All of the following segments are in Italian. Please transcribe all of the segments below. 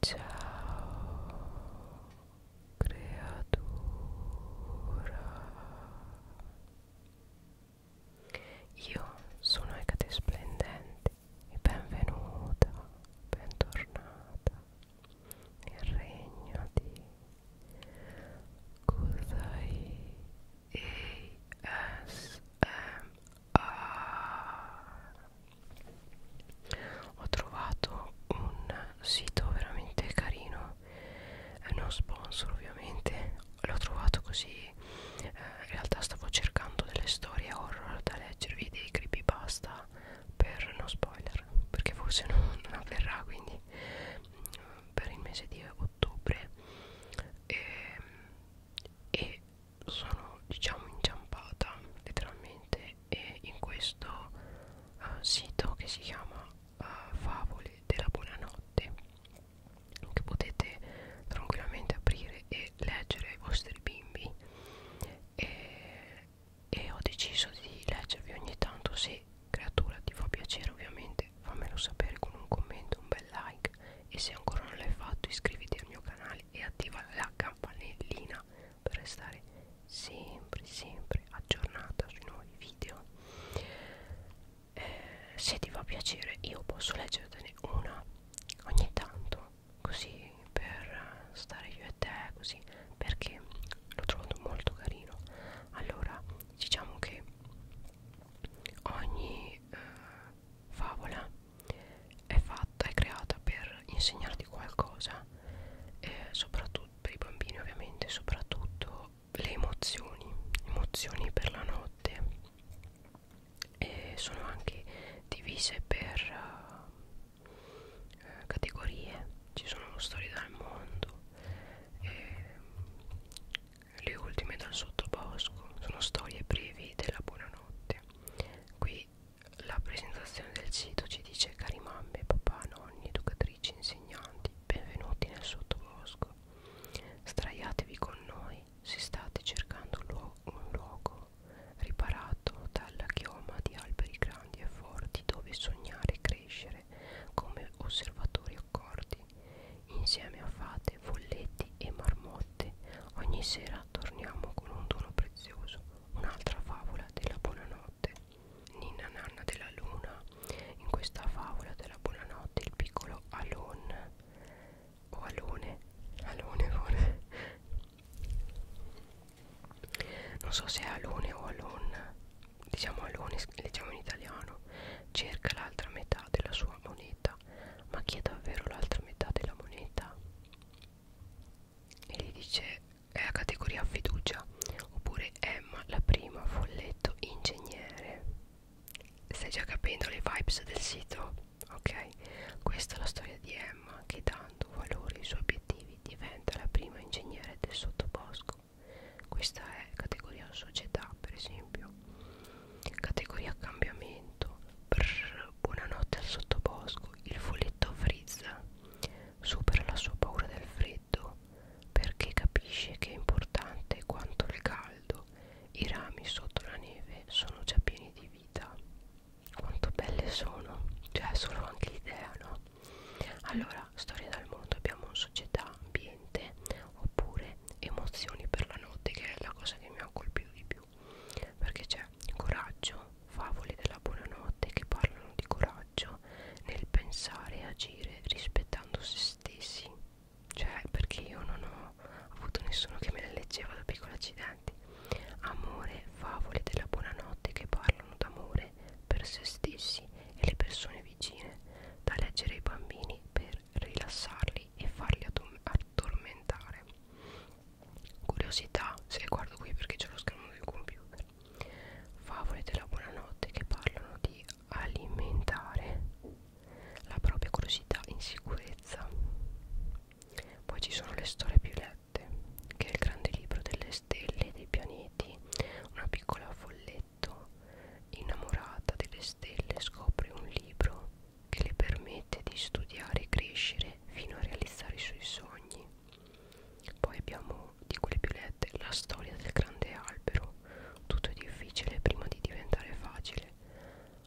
Ciao creatura Io sono Ecate Splendente e benvenuta, bentornata nel regno di Kuzai ASMR uh, ho trovato un sito veramente carino eh, non sponsor ovviamente l'ho trovato così eh, in realtà stavo cercando delle storie horror da leggervi dei creepypasta per no spoiler perché forse non, non avverrà quindi mm, per il mese di ottobre ehm, e, e sono diciamo inciampata letteralmente e in questo uh, sito che si chiama uh, favole della buonanotte che potete tranquillamente aprire e leggere ai vostri bimbi e, e ho deciso di leggervi ogni tanto se creatura ti fa piacere ovviamente fammelo sapere con un commento un bel like e se ancora non l'hai fatto iscriviti al mio canale sociali e attiva la campanellina per restare sempre sempre aggiornata sui nuovi video eh, se ti fa piacere io posso leggertene una ogni tanto così per stare io e te così perché l'ho trovato molto carino allora diciamo che ogni eh, favola è fatta, è creata per insegnarti qualcosa, eh, soprattutto per i bambini ovviamente, soprattutto le emozioni, emozioni per la notte e sono anche divise per uh, categorie, ci sono storie dal mondo, e le ultime dal sottobosco, sono storie brevi della buonanotte niente qui la presentazione del sito ci dice cari mamme, papà, nonni, educatrici, insegnanti benvenuti nel sottobosco straiatevi con noi se state cercando un luogo riparato dalla chioma di alberi grandi e forti dove sognare e crescere come osservatori accorti insieme a fate, folletti e marmotte. Ogni sera torniamo con un dono prezioso, un'altra favola della buonanotte. Ninna Nanna della Luna. In questa favola della buonanotte il piccolo Alon o Alone, Alone, Alone. non so se è Alone o Alon, diciamo Alone, leggiamo in italiano, cerca l'altra metà della sua moneta moneta ma chi è davvero l'altra metà della moneta e gli dice è la categoria fiducia oppure Emma eh, la prima folletto ingegnere stai già capendo le vibes del sito ok questa è la storia di Emma che dando valore ai suoi obiettivi diventa la prima ingegnere del sottobosco questa è categoria società per esempio Categoria cambiamento. Brrr, buonanotte al sottobosco. Il folletto frizza. Supera la sua paura del freddo perché capisce che è importante quanto il caldo. I rami sotto la neve sono già pieni di vita. Quanto belle sono, cioè solo anche l'idea, no? Allora, storia dal mondo, abbiamo società, ambiente niente oppure emozioni per la notte che è la cosa che mi ha colpito di più perché c'è coraggio favole della buonanotte che parlano di coraggio nel pensare e agire rispettando se stessi cioè perché io non ho avuto nessuno che me le leggeva da piccoli accidenti amore favole della buonanotte che parlano d'amore per se stessi e le persone vicine da leggere ai bambini per per rilassarli e farli addormentare curiosità se guardo qui perché c'è lo schermo del computer favole della buonanotte che parlano di alimentare la propria curiosità in sicurezza poi ci sono le storie più lette che è il grande libro delle stelle e dei pianeti una piccola folletta letto, innamorata delle stelle, scopre un libro che le permette di studiare e crescere fino a realizzare i suoi sogni. Poi abbiamo di quelle più lette la storia del grande albero. Tutto è difficile prima di diventare facile.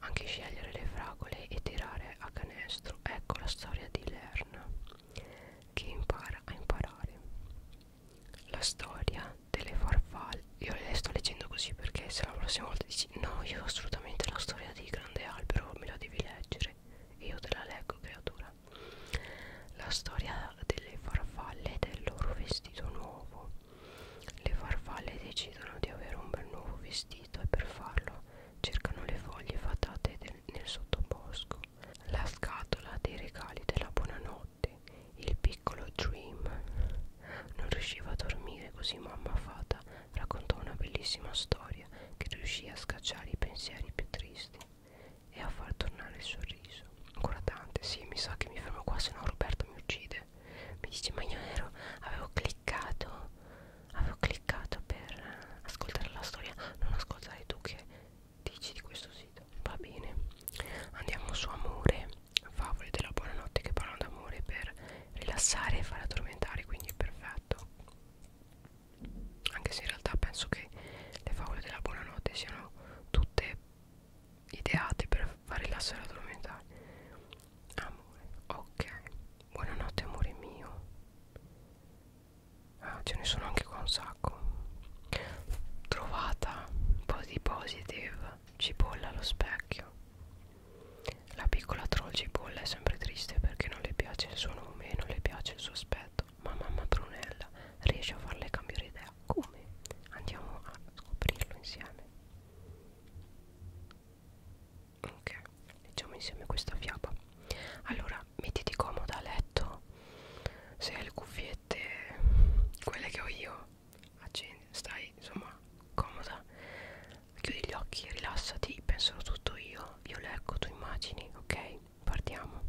Anche scegliere le fragole e tirare a canestro. Ecco la storia di Lerna che impara a imparare la storia delle farfalle io le sto leggendo così perché se la prossima volta dici no io assolutamente la storia di grande albero me la devi leggere io te la leggo creatura la storia delle farfalle e del loro vestito nuovo le farfalle decidono di avere un bel nuovo vestito e per farlo cercano le foglie fatate del, nel sottobosco la scatola dei regali della buonanotte notte il piccolo Dream non riusciva a dormire così mamma fata raccontò una bellissima storia che riuscì a scacciare i pensieri più tristi e a far tornare il sorriso ancora tante sì mi sa che mi fermo qua se no Roberto mi uccide mi dice ma io ero avevo cliccato avevo cliccato per ascoltare la storia non ascoltare tu che dici di questo sito va bene andiamo su amore favole della buonanotte che parlano d'amore per rilassare e far addormentare quindi è perfetto anche se in realtà penso che le favole della buonanotte siano tutte ideate per far rilassare e addormentare amore ok buonanotte amore mio ah ce ne sono anche qua un sacco Trovata body positive cipolla allo specchio. La piccola troll cipolla è sempre triste perché non le piace il suo nome e non le piace il suo aspetto, ma mamma Brunella riesce a farle cambiare idea. Come? Andiamo a scoprirlo insieme. Ok, leggiamo insieme questa fiaba. Allora, mettiti comoda a letto. Se hai le cuffie magliette quelle che ho io accendi stai insomma comoda chiudi gli occhi rilassati penserò tutto io io leggo tu immagini ok partiamo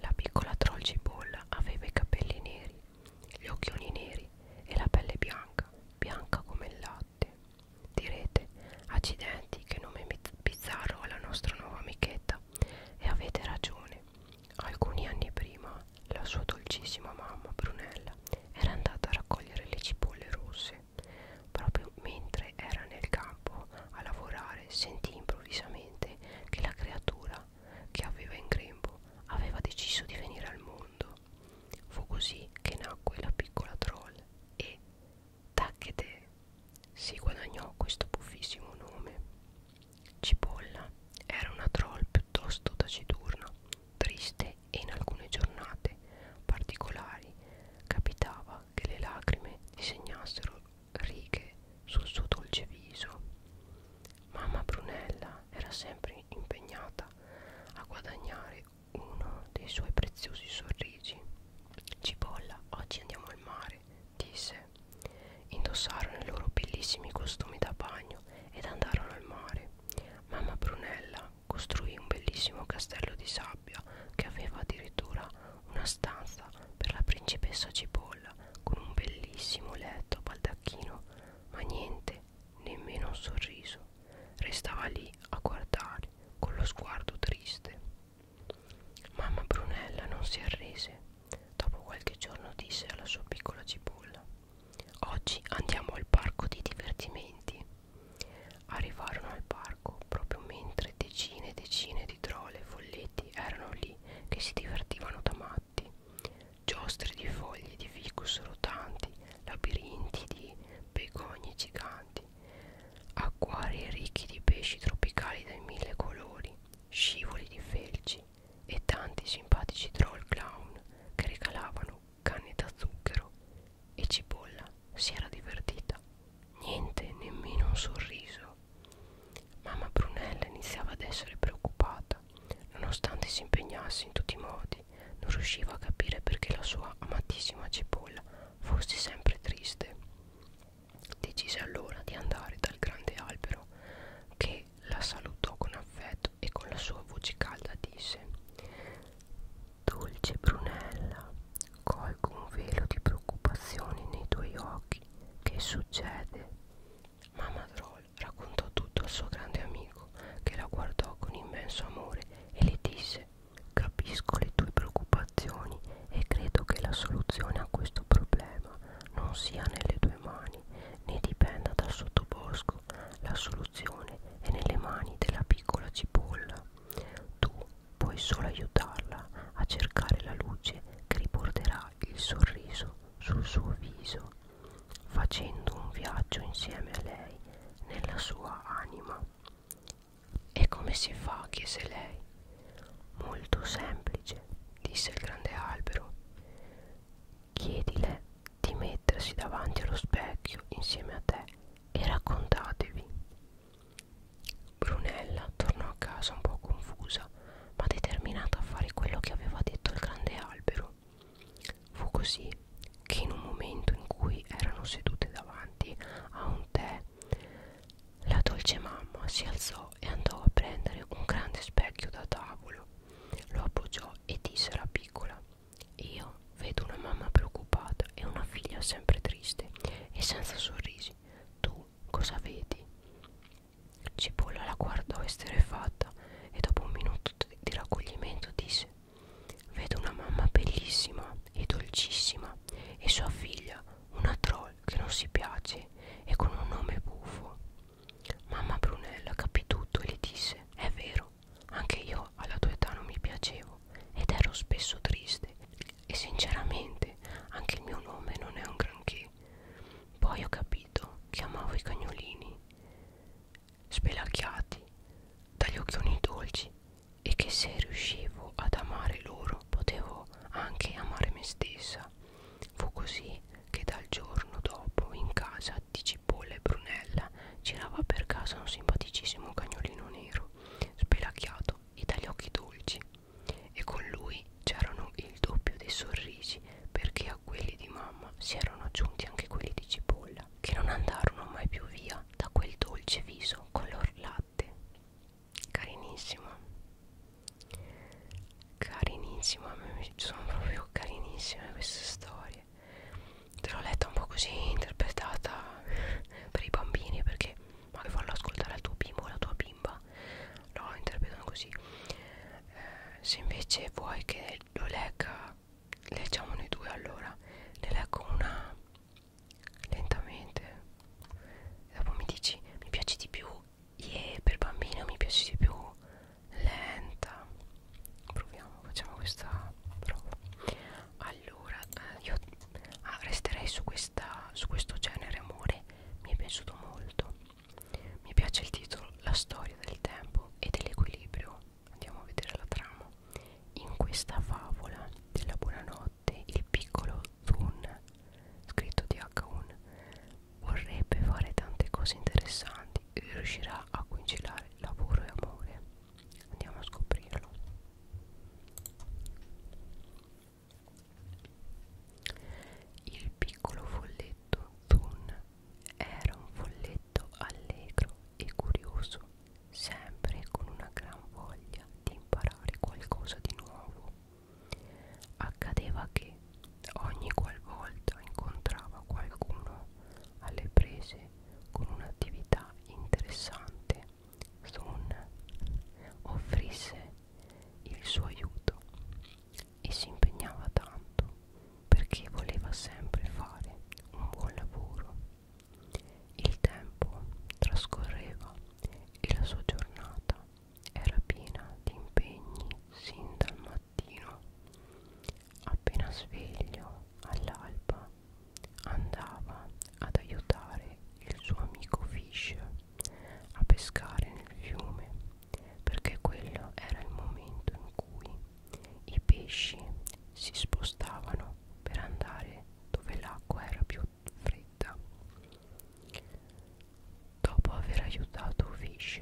la piccola troll cipolla aveva i capelli neri gli occhioni neri e la pelle bianca bianca come il latte direte accidenti che nome bizzarro alla nostra nuova amichetta e avete ragione. Alcuni anni prima la sua dolcissima mamma Brunella era andata a raccogliere le cipolle rosse. Proprio mentre era nel campo a lavorare sentì improvvisamente che la creatura che aveva in grembo aveva deciso di venire al mondo. Fu così che nacque la piccola troll e, tacchete, si guadagnò questo buffissimo nome. Cipolla era una troll piuttosto taciturna, triste e in alcune giornate particolari capitava che le lacrime disegnassero righe sul suo dolce viso. Mamma Brunella era sempre impegnata a guadagnare uno dei suoi preziosi sorrisi. Cipolla, oggi andiamo al mare, disse Indossarono i loro bellissimi costumi da bagno ed andarono al mare. Mamma Brunella costruì un bellissimo castello di sabbia che aveva addirittura una stanza per la principessa Cipolla con un bellissimo letto a baldacchino, ma niente, nemmeno un sorriso. Restava lì a guardare con lo sguardo triste. Mamma Brunella non si arrese. Dopo qualche giorno disse alla sua piccola cipolla Oggi andiamo al parco di divertimenti. Arrivarono al parco proprio mentre decine e decine di drole e folletti erano lì che si divertivano da matti. Giostri di foglie di ficus rotanti, labirinti di begogne giganti pianeti, acquari ricchi di pesci tropicali dai mille colori, scivoli di felci e tanti simpatici troll clown che regalavano canne da zucchero e cipolla si era divertita. Niente, nemmeno un sorriso. Mamma Brunella iniziava ad essere preoccupata. Nonostante si impegnasse in tutti i modi, non riusciva a capire perché la sua amatissima cipolla fosse sempre triste. Decise allora di andare dal grande albero che la salutò con affetto e con la sua voce calda disse Dolce Brunella, colgo un velo di preoccupazione nei tuoi occhi. Che succede? Mamma Troll raccontò tutto al suo grande amico che la guardò con immenso amore e le disse Capisco le tue preoccupazioni e credo che la soluzione a questo problema non sia nelle tue mani né dipenda dal sottobosco. La soluzione è nelle mani della piccola cipolla. Tu puoi solo aiutarla a cercare la luce che riporterà il sorriso sul suo viso, facendo un viaggio insieme a lei nella sua anima. E come si fa? chiese lei. Molto semplice, disse il grande albero. Chiedile di mettersi davanti allo specchio insieme a te e raccontatevi. Brunella tornò a casa un po' confusa, ma determinata a fare quello che aveva detto il grande albero. Fu così che in un momento in cui erano sedute davanti a un tè la dolce mamma si alzò e andò a prendere un grande specchio da tavolo. Lo appoggiò e disse alla piccola: Io vedo una mamma preoccupata e una figlia sempre triste e senza sorrisi. Tu cosa vedi? Cipolla la guardò esterrefatta e dopo un minuto di raccoglimento disse: Vedo una mamma bellissima e dolcissima e sua figlia, una troll che non si piace e con un nome buffo. Mamma Brunella capì tutto e le disse: È vero, anche io alla tua età non mi piacevo ed ero spesso triste e sinceramente anche il mio nome non è un granché. Poi ho capito che amavo i cagnolini spelacchiati dagli occhioni dolci e che se riuscivo ad amare loro potevo anche amare me stessa. Fu così che dal giorno dopo in casa di Cipolla e Brunella girava per casa un simpaticissimo cagnolino nero, spelacchiato e dagli occhi dolci. E con lui c'erano il doppio dei sorrisi perché a quelli di mamma si erano aggiunti anche quelli di Cipolla, che non andarono mai più via guardava da quel dolce viso color latte carinissima carinissima sono proprio carinissime queste storie te l'ho letta un po' così interpretata per i bambini perché magari farlo ascoltare al tuo bimbo o alla tua bimba lo interpretano così eh, se invece vuoi che lo legga leggiamo noi due allora ne leggo una lentamente e dopo mi dici mi piace di più yeah, per bambino mi piace di più lenta proviamo facciamo questa prova allora eh, io ah, resterei su questa su questo genere amore mi è piaciuto molto mi piace il titolo la storia del tempo e dell'equilibrio andiamo a vedere la trama in questa favola della buonanotte il piccolo Thun scritto di H1 vorrebbe fare tante cose interessanti e riuscirà a conciliare lavoro e amore andiamo a scoprirlo il piccolo folletto Thun era un folletto aspetto allegro e curioso, sempre con una gran voglia di imparare qualcosa di nuovo. Accadeva che ogni qualvolta incontrava qualcuno alle prese con un'attività interessante, Sun offrisse il suo aiuto e si impegnava tanto perché voleva sempre fare un buon lavoro il tempo trascorreva e la sua giornata era piena di impegni sin dal mattino. Appena sveglio all'alba andava ad aiutare il suo amico Fish a pescare nel fiume perché quello era il momento in cui i pesci si spostavano per andare dove l'acqua era più fredda. Dopo aver aiutato Fish,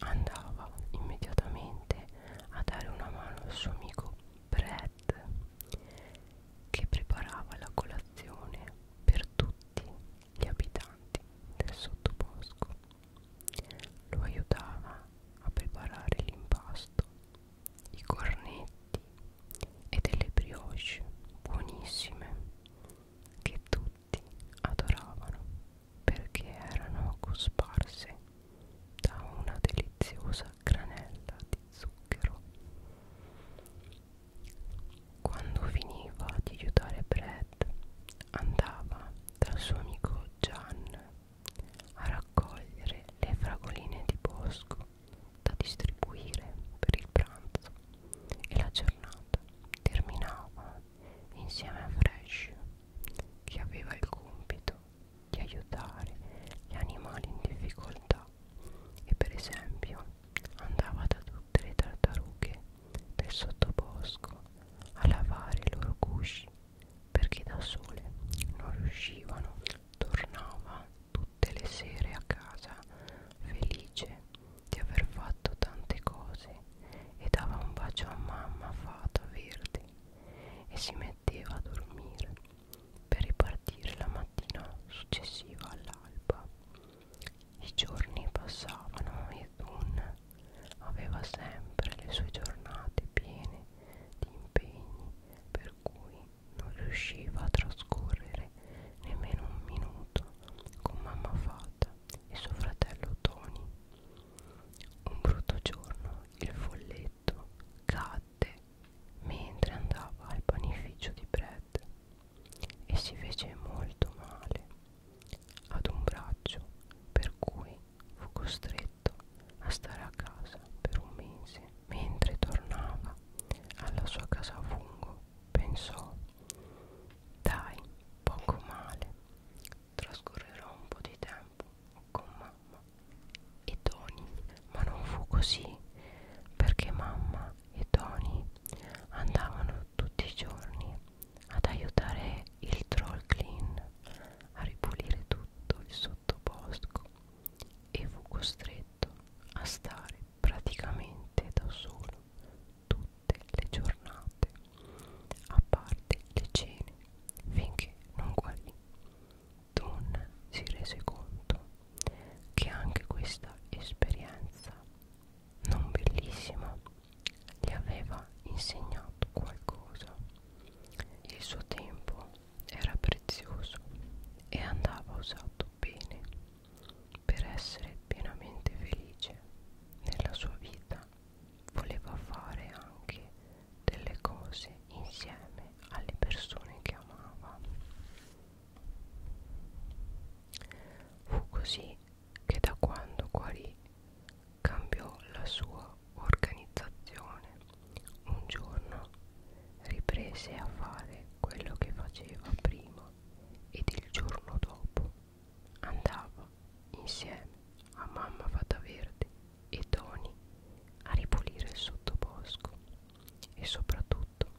andava immediatamente a dare una mano al suo amico Brad, che preparava la colazione per tutti gli abitanti del sottobosco lo aiutava a preparare l'impasto, i cornetti e delle brioche buonissime che tutti adoravano perché erano cosparse da una deliziosa granella di zucchero. Quando finiva di aiutare Brad andava dal suo amico Gian a raccogliere le fragoline di bosco da distribuire per il pranzo e la giornata terminava insieme a Fresh che aveva il compito di aiutare gli animali in difficoltà e per esempio andava da tutte le tartarughe del sottobosco a lavare i loro cusci perché da sole non riuscivano, tornava tutte le sere a casa felice di aver fatto tante cose e dava un bacio a mamma fata verde e si metteva a dormire per ripartire la mattina successiva all'alba. I giorni passavano ed un Aveva sempre le sue giornate piene di impegni per cui non riusciva a trascorrere nemmeno un minuto con mamma Fata e suo fratello Tony. Un brutto giorno il folletto cadde mentre andava al panificio di Brad e si fece molto male ad un braccio per cui fu costretto a stare a casa per un mese. Mentre tornava alla sua casa a fungo, pensò: Dai, poco male, trascorrerò un po' di tempo con mamma e Tony. Ma non fu così, perché mamma e Tony andavano tutti i giorni ad aiutare il troll clean a ripulire tutto il sottobosco e fu costretto a stare praticamente da solo tutte le giornate, a parte le cene, finché non guarì. Don si rese conto che anche questa esperienza non bellissima gli aveva insegnato qualcosa. Il suo tempo era prezioso e andava usato bene per essere pienamente felice nella sua vita. Voleva fare anche delle cose insieme alle persone che amava. Fu così che da quando guarì cambiò la sua organizzazione. Un giorno riprese a fare quello che faceva prima ed il giorno dopo andava insieme a mamma Fata Verde e Tony a ripulire il sottobosco e soprattutto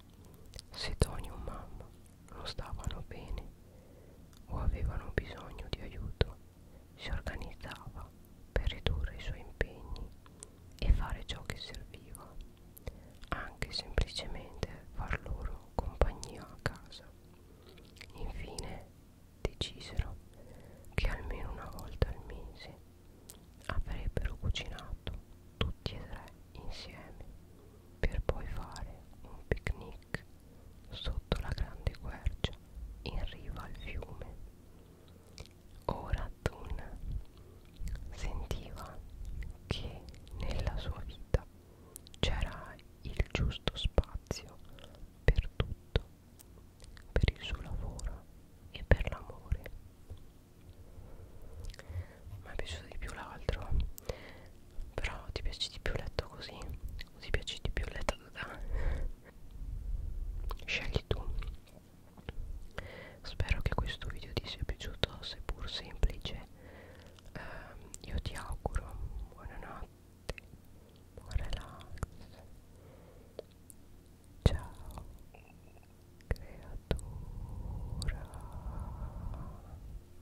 se Tony o mamma non stavano bene o avevano bisogno di aiuto, si organizzava per ridurre i suoi impegni e fare ciò che serviva, anche semplicemente far loro compagnia a casa. Infine decisero che almeno una volta al mese avrebbero cucinato tutti e tre insieme per poi fare un picnic Trek sotto la grande quercia in riva al fiume. Ora Thun sentiva che nella sua vita c'era il giusto spazio per tutto, per il suo lavoro e per l'amore. Mi è piaciuto di più l'altro però ti piace di più letto così o ti piace di più letto da scegli tu spero che questo video ti sia piaciuto seppur semplice eh, io ti auguro buonanotte buon relax ciao creatura